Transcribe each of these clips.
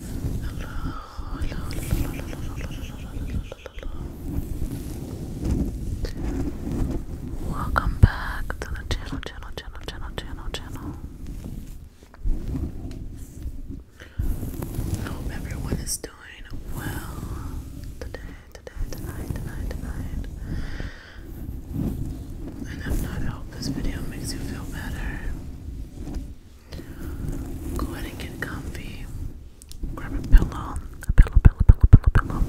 hello. Welcome back to the channel, channel, channel, channel, channel, channel. I hope everyone is doing well today, today, tonight, tonight, tonight. And if not, I hope this video makes you feel better. Go ahead and get comfy. Grab a pillow, a pillow, pillow, pillow, pillow, pillow.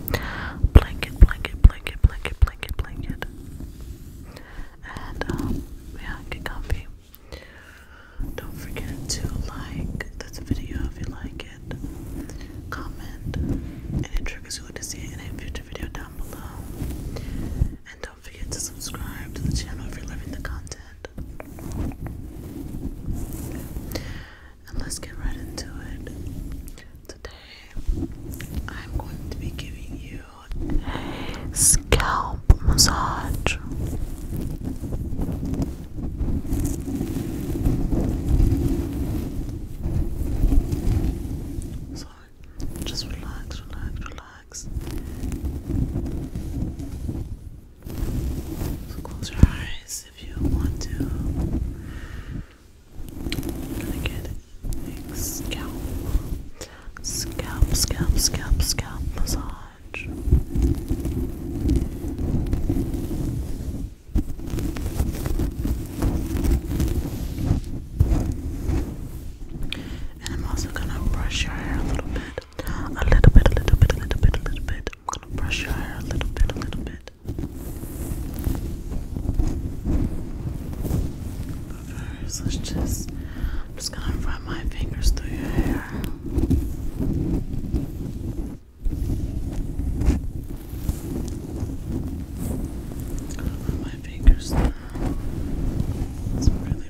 Blanket, blanket, blanket, blanket, blanket, blanket. And um, yeah, get comfy. Don't forget to like this video if you like it. Comment, and it triggers you to see it in a future video down below. And don't don't forget to subscribe to the channel if you're loving the content. And let's get right into it. Today, I'm going to be giving you a scalp massage. So just relax, relax, relax relax. So close your eyes if you want to. I'm gonna get a scalp, scalp, scalp, scalp, scalp massage. And I'm also gonna brush your hair a little bit. A little bit, a little bit, a little bit, a little bit. I'm gonna brush your hair a little bit, a little bit. But first, let's just, I'm just gonna run my fingers through your hair. Run my fingers through. It's really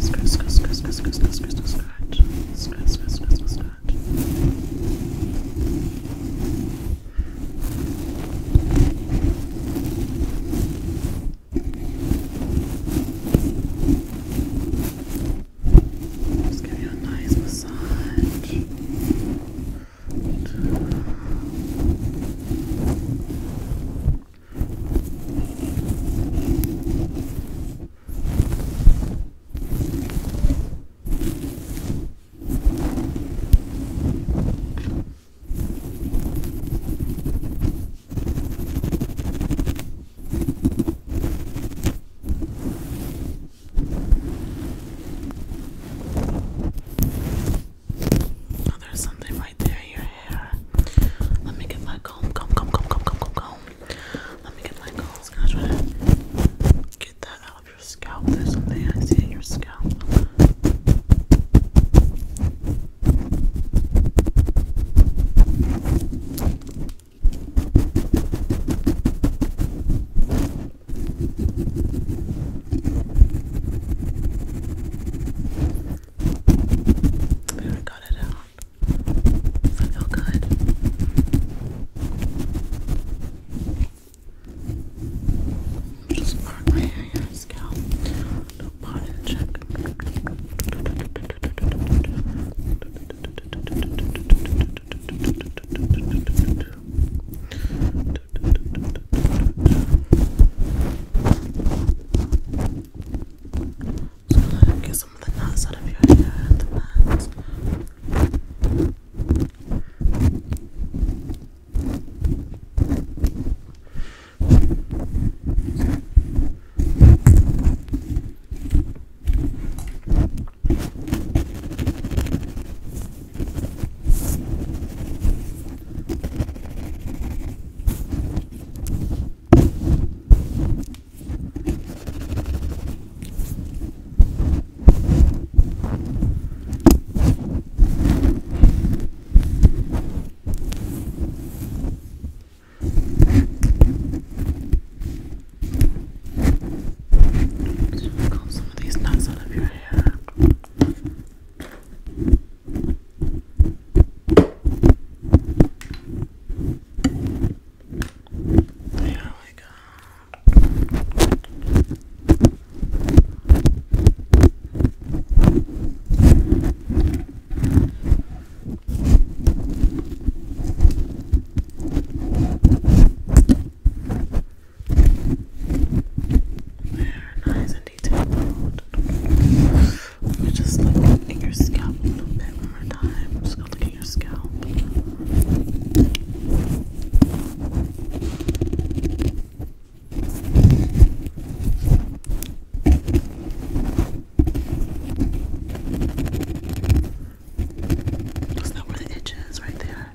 Scratch, scratch, scratch, scratch, scratch, scratch, scratch, scratch. Scratch, scratch, scratch, scratch. Just give you a nice massage. Good. Oh, there's something my let me get my comb, comb, comb, comb, comb, comb, comb, comb. Let me get my comb. I'm gonna get that out of your scalp. There's something I see in your scalp. we got it out. Does that feel good? Just mark my hair, your scalp. Do a bottom check. Just so like, get some of the nuts out of your hair the bands. So I've got some of these nuts out of your hair. There we go. They're nice and detailed. Let me just look at your scalp a little bit more time. just gonna look at your scalp. That's not where the itch is, right there.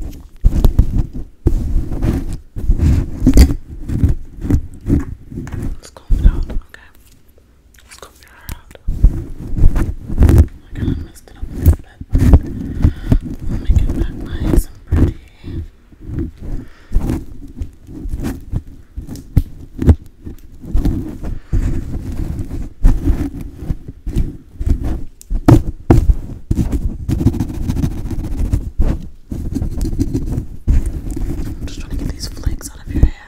Let's comb it out, okay? Let's comb your hair out. I kind of messed it up a little bit, but we'll make pretty. I'm just trying to get these flakes out of your hair.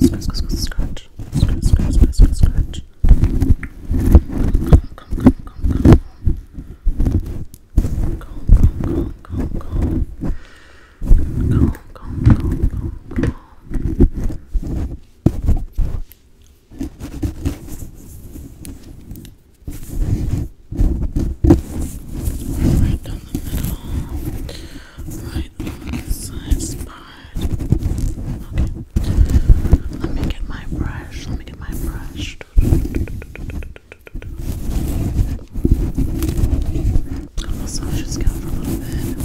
Scratch, scratch, scratch, scratch, scratch, scratch, scratch, scratch. Come, come, come, come, come. Come, come, come, come, come. Come, come, come, come, come. Right down the middle. Right let me get my brush. Let me get my brush. I'll massage your scalp for a little bit.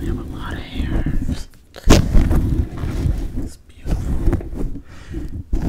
We have a lot of hairs. It's beautiful. All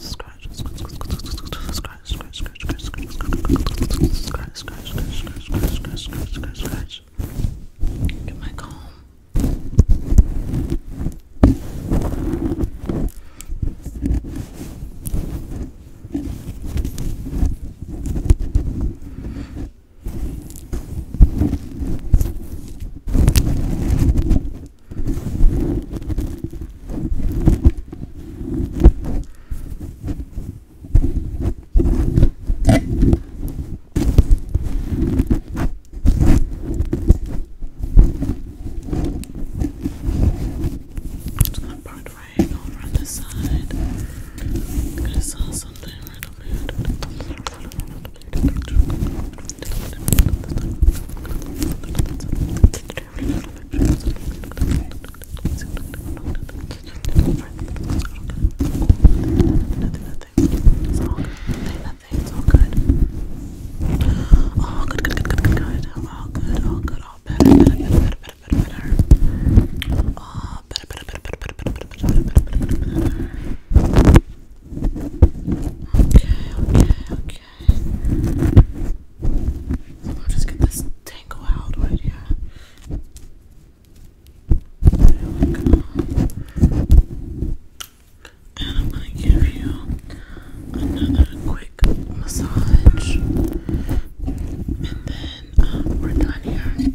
scratch, scratch, Get my comb. It's not part right over on this side. I saw something right over here. It's all good. Nothing. It's all good. Oh, good, good, good, good, good, good. All good. All good. All better. Better. Better. Better. Better. Better. better. Oh, better. Better. Better. Better. Better. Better. Better. Better. Better. better, better. Okay, okay, okay, Okay. i just get this tangle out right here. And I'm gonna give you another quick massage. And then um, we're done here.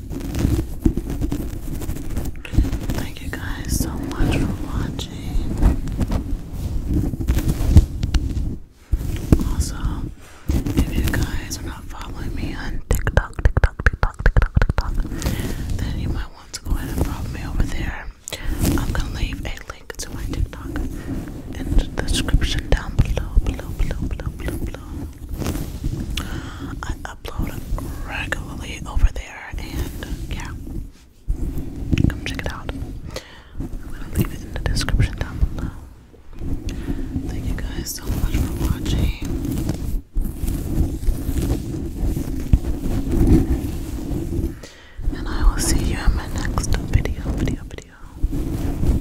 Thank you guys so much for watching. Also, if you guys are not following me on TikTok, TikTok, TikTok, TikTok, TikTok, then you might want to go ahead and follow me over there. I'm gonna leave a link to my TikTok in the description down below, below, below, below, below, below. I upload regularly over there, and yeah, come check it out. I'm gonna leave it in the description down below. Thank you guys so much for watching. And I will see you in my next video, video, video.